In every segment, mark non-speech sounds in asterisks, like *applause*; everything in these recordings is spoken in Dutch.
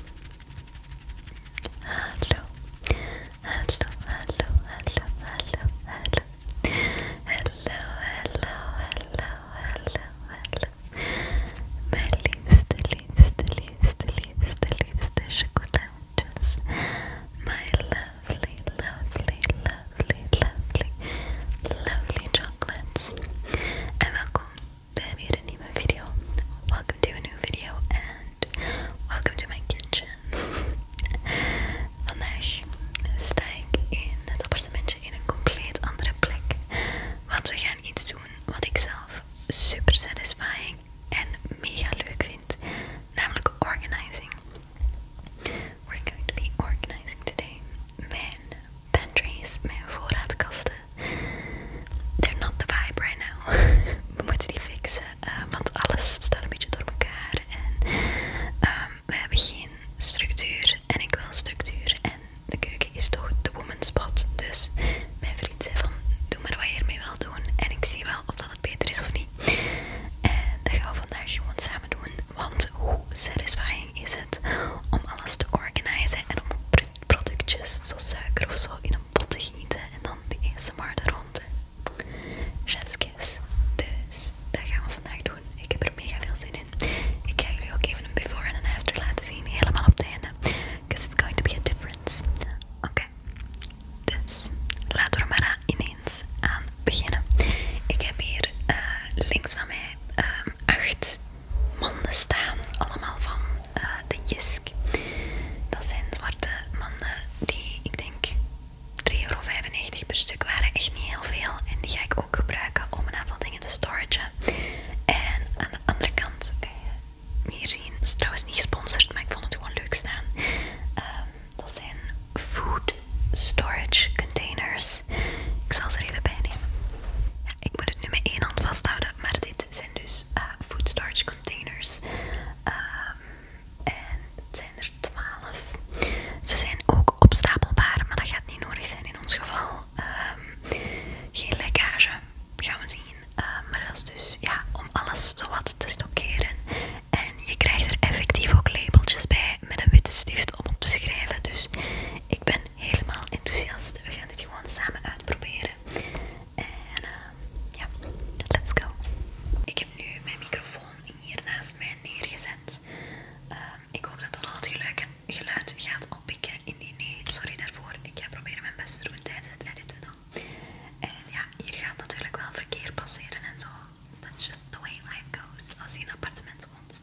Hello, hello, hello, hello, hello, hello, hello, hello, hello, hello, My liebste, liebste, liebste, liebste, liebste Schokoladas. My lovely, lovely, lovely, lovely, lovely chocolates. And welcome We hebben didn't een nieuwe video. Welcome to a new video and welcome to my kitchen. *laughs* Vandaag sta ik in het appartementje in een compleet andere plek. Want we gaan iets doen wat ik zelf super satisfying en mega leuk vind. Namelijk organizing. We're going to be organizing today. Mijn pantries, mijn voorraadkasten They're not the vibe right now. *laughs* We moeten die fixen, eh, want alles staat een beetje door elkaar. En ehm, we hebben geen structuur. En ik wil structuur. En de keuken is toch de woman's spot. Dus mijn vriend zei van, doe maar wat je ermee wil doen. En ik zie wel of dat het beter is of niet. En dat gaan we vandaag gewoon samen doen. Want hoe satisfying is het om alles te organiseren en om op productjes, zoals suiker of zo, in een pot te gieten en dan de eerste maarde rond. Chef's kiss. Dus dat gaan we vandaag doen. Ik heb er mega veel zin in. Ik ga jullie ook even een before en een after laten zien, helemaal op het einde. Because it's going to be a difference. Oké, dus laten we maar ineens aan beginnen. Ik heb hier eh, links van mij ehm, acht manden staan, allemaal van eh, de Jisk. Dat zijn zwarte manden die ik denk 3,95 per stuk waren, echt niet heel veel. En die ga ik ook gebruiken om een aantal dingen te storagen. En aan de andere kant kan je hier zien, het is trouwens niet gesponsord, maar ik vond het gewoon leuk staan. Ehm, dat zijn food storage containers. Ik zal ze er even bij nemen. ik moet het nu met één hand vasthouden, maar dit dus eh, foodstarch containers. Ehm, en het zijn er 12. Ze zijn ook opstapelbaar, maar dat gaat niet nodig zijn in ons geval. Ehm, geen lekkage, gaan we zien. Ehm, maar dat is dus ja, om alles wat te stockeren. En je krijgt er effectief ook labeltjes bij met een witte stift om op te schrijven. Dus ik ben helemaal enthousiast. We gaan dit gewoon samen uitproberen. En ehm, ja, let's go. Ik heb nu mijn microfoon hier naast mij neergezet. Ehm, ik hoop dat dat altijd het geluid, geluid gaat oppikken. die nee, sorry daarvoor. Ik ga proberen mijn best te doen tijdens het editen dan. En ja, hier gaat natuurlijk wel verkeer passeren en zo. That's just the way life goes als je in een appartement woont.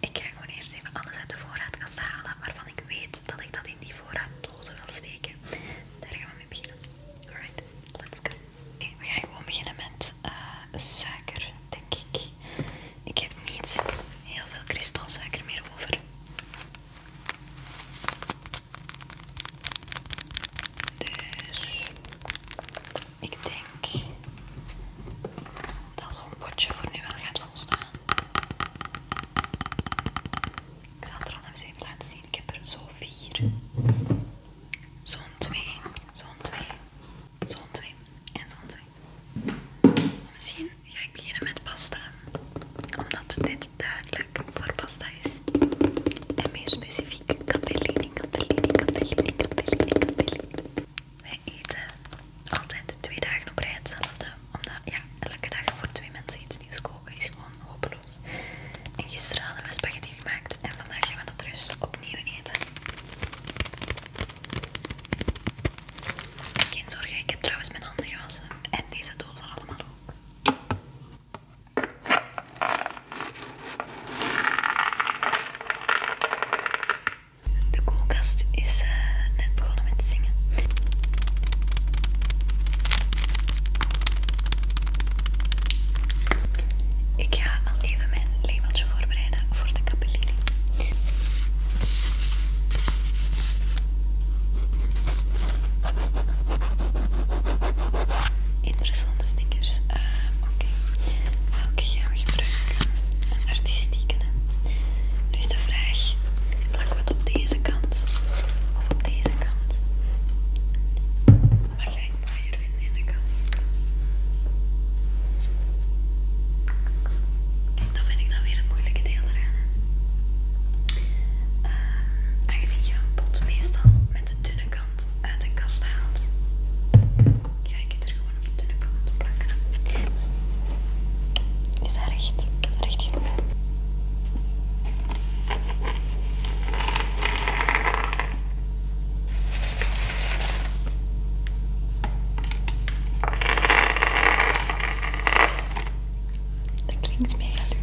Maar ik ga gewoon eerst even alles uit de voorraadkast halen waarvan ik weet dat ik dat in die voorraaddozen wil steken. Daar gaan we mee beginnen. Alright, let's go. we gaan gewoon beginnen met eh, suiker, denk ik. Ik heb niet heel veel kristalsuiker meer over. Dus ik denk dat zo'n potje voor nu wel gaat volstaan. Ik zal het er al eens even laten zien. Ik heb er zo vier. Zo'n twee, zo'n twee, zo'n twee en zo'n twee. Misschien ga ik beginnen met pasta. Omdat dit duidelijk voor pasta is. En meer specifiek, cantellini, cantellini, cantellini, cantellini, cantellini. Wij eten altijd twee dagen op rij hetzelfde. Omdat ja, elke dag voor twee mensen iets nieuws koken is gewoon hopeloos. En gisteren hadden we spaghetti gemaakt en vandaag gaan we dat dus opnieuw eten. Geen zorgen, ik heb trouwens mijn handen gewassen. En deze dozen allemaal ook. De koelkast is eh, net begonnen met zingen. Ik ga al even mijn labeltje voorbereiden voor de capellini. Interessante stickers. Eh, oké, welke gaan we gebruiken? Een artistieke nu is de vraag, plakken we het op deze kant of op deze kant? Wat ga ik mooier vinden in de kast? Kijk, dan vind ik dan weer het moeilijke deel eraan. Uh, aangezien je een pot meestal met de dunne kant uit de kast haalt, kijk ik het er gewoon op de dunne kant plakken. Is dat recht? Recht genoeg? Dat klinkt mega leuk.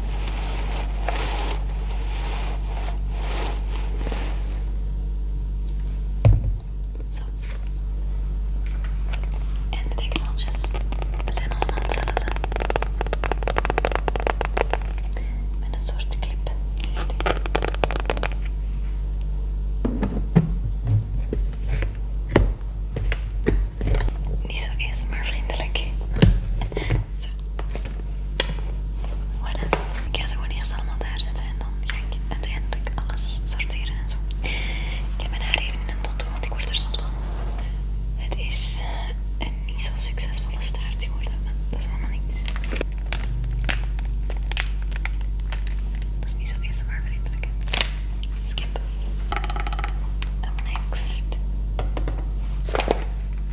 Zo. En de dekseltjes zijn allemaal hetzelfde. Met een soort clip systeem. Niet zo eens, maar vriendelijk. Ik ga ze gewoon eerst allemaal daar zetten en dan ga ik uiteindelijk alles sorteren en zo. Ik heb mijn haar even in een tot want ik word er zo van. Het is eh, een niet zo succesvolle staart geworden, maar dat is allemaal niks. Dat is niet zo eerst maar vriendelijk. Skip. Up next.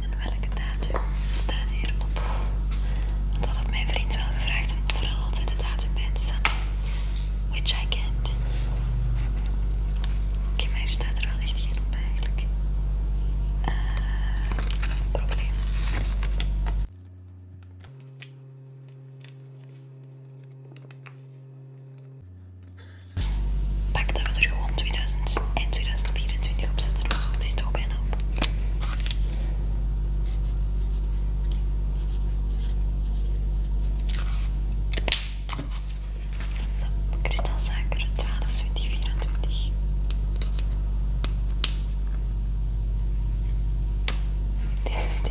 En, welke datum staat hierop? Want dat mijn vriend wel gevraagd om vooral altijd de datum bij te zetten. Which I can't. Oké, okay, staat er wel echt geen op eigenlijk. Eh. probleem. Pak dat gewoon 2000 en 2024 op zetten of zo. Het bijna op. Zo, kristalsuiker 12, 2024. Deze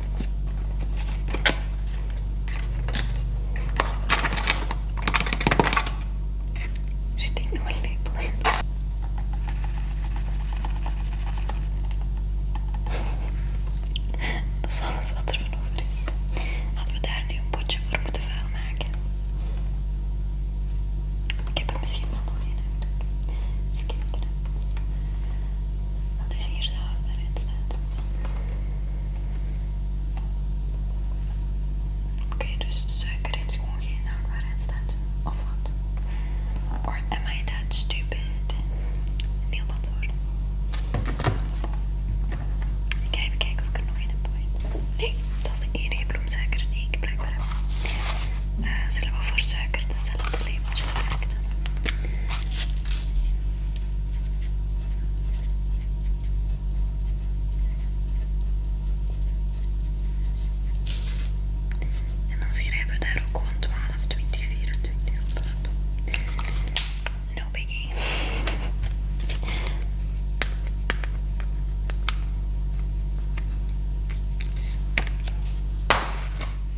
Steek nog een lepel in. Dat is alles wat er van over is. Hadden we daar nu een potje voor moeten vuil maken. Ik heb er misschien nog een uit. Dus is hier zou het maar in staat. Oké, dus suiker is gewoon geen naam waarin staat. Of wat? Or am I that stupid? Niemand hoor. Ik ga even kijken of ik er nog in heb. Nee, dat is de enige bloemsuiker die ik blijkbaar heb. Eh, zullen we voor suiker zetten? En dan schrijven we daar ook gewoon 12, No biggie.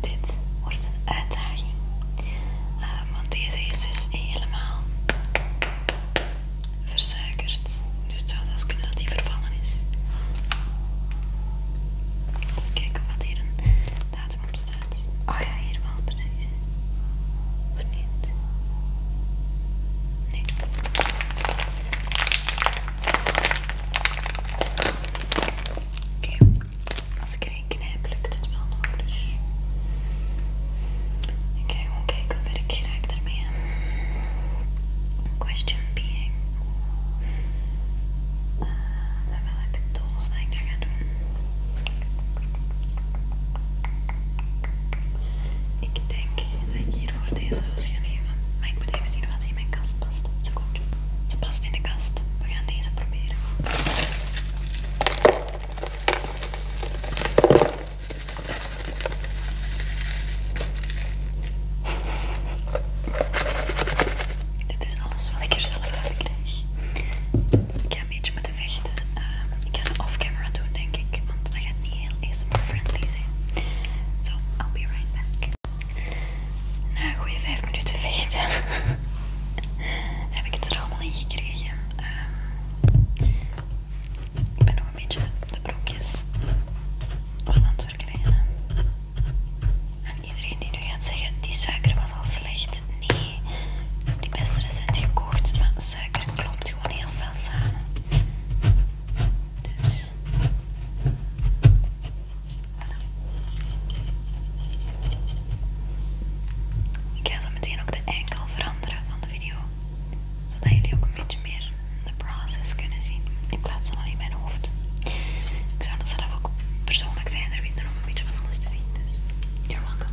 Dit wordt een uitdaging, ehm, want deze is dus helemaal versuikerd. Dus het zou zelfs kunnen dat die vervallen is. Eens kijken wat hier een datum op staat. Oh ja, hier wel, precies. Of niet? Nee. Oké, okay. als ik erin knijp, lukt het wel nog. Dus ik ga gewoon kijken of ik geraak daarmee. Question being. Uh, met welke doel zou ik dat doen? Ik denk dat ik hiervoor deze roos ga nemen. Maar ik moet even zien wat ze in mijn kast past. Zo goed. Ze past in de kast. We gaan deze proberen. Dit is alles wat ik er zelf uit krijg een beetje moeten vechten. Ehm, ik ga het off-camera doen, denk ik, want dat gaat niet heel ASMR-friendly zijn. Zo, I'll be right back. Na een goede 5 minuten vechten *laughs* heb ik het er allemaal in gekregen. Ehm, ik ben nog een beetje de broekjes van aan het verkrijgen. En iedereen die nu gaat zeggen, die suiker was al slecht. Nee, die best recent gekocht, met suiker klopt gewoon heel veel samen. Dus. Ik ga zo meteen ook de enkel veranderen van de video. Zodat jullie ook een beetje meer de process kunnen zien. In plaats van alleen mijn hoofd. Ik zou dat zelf ook persoonlijk fijner vinden om een beetje van alles te zien. Dus, you're welcome.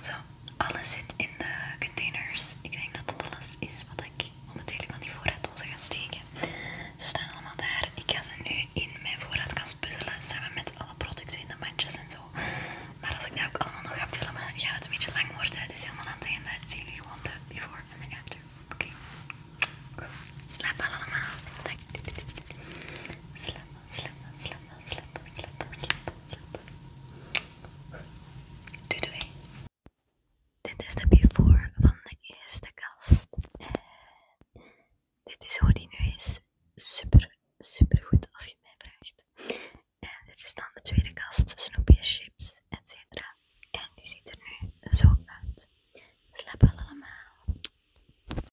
Zo, alles zit in de containers. Ik denk dat dat alles is wat ik momenteel van die voorraaddozen ga steken. Ze staan allemaal daar. Ik ga ze nu in mijn voorraadkast puzzelen samen met alle producten in de mandjes en zo. Maar als ik dat ook allemaal nog ga filmen, gaat het een beetje lang worden. Dus helemaal aan het einde zien jullie gewoon de before en de after. Oké. Okay. Slaap allemaal. Slaap, slap, slap slapen, slapen, slapen, Doei Dit is de before van de eerste kast. En dit is hoe die nu is. Super, super goed als je mij vraagt. En dit is dan de tweede kast. Snoepjes, chips, etc. En die ziet er nu zo uit. Slapen allemaal.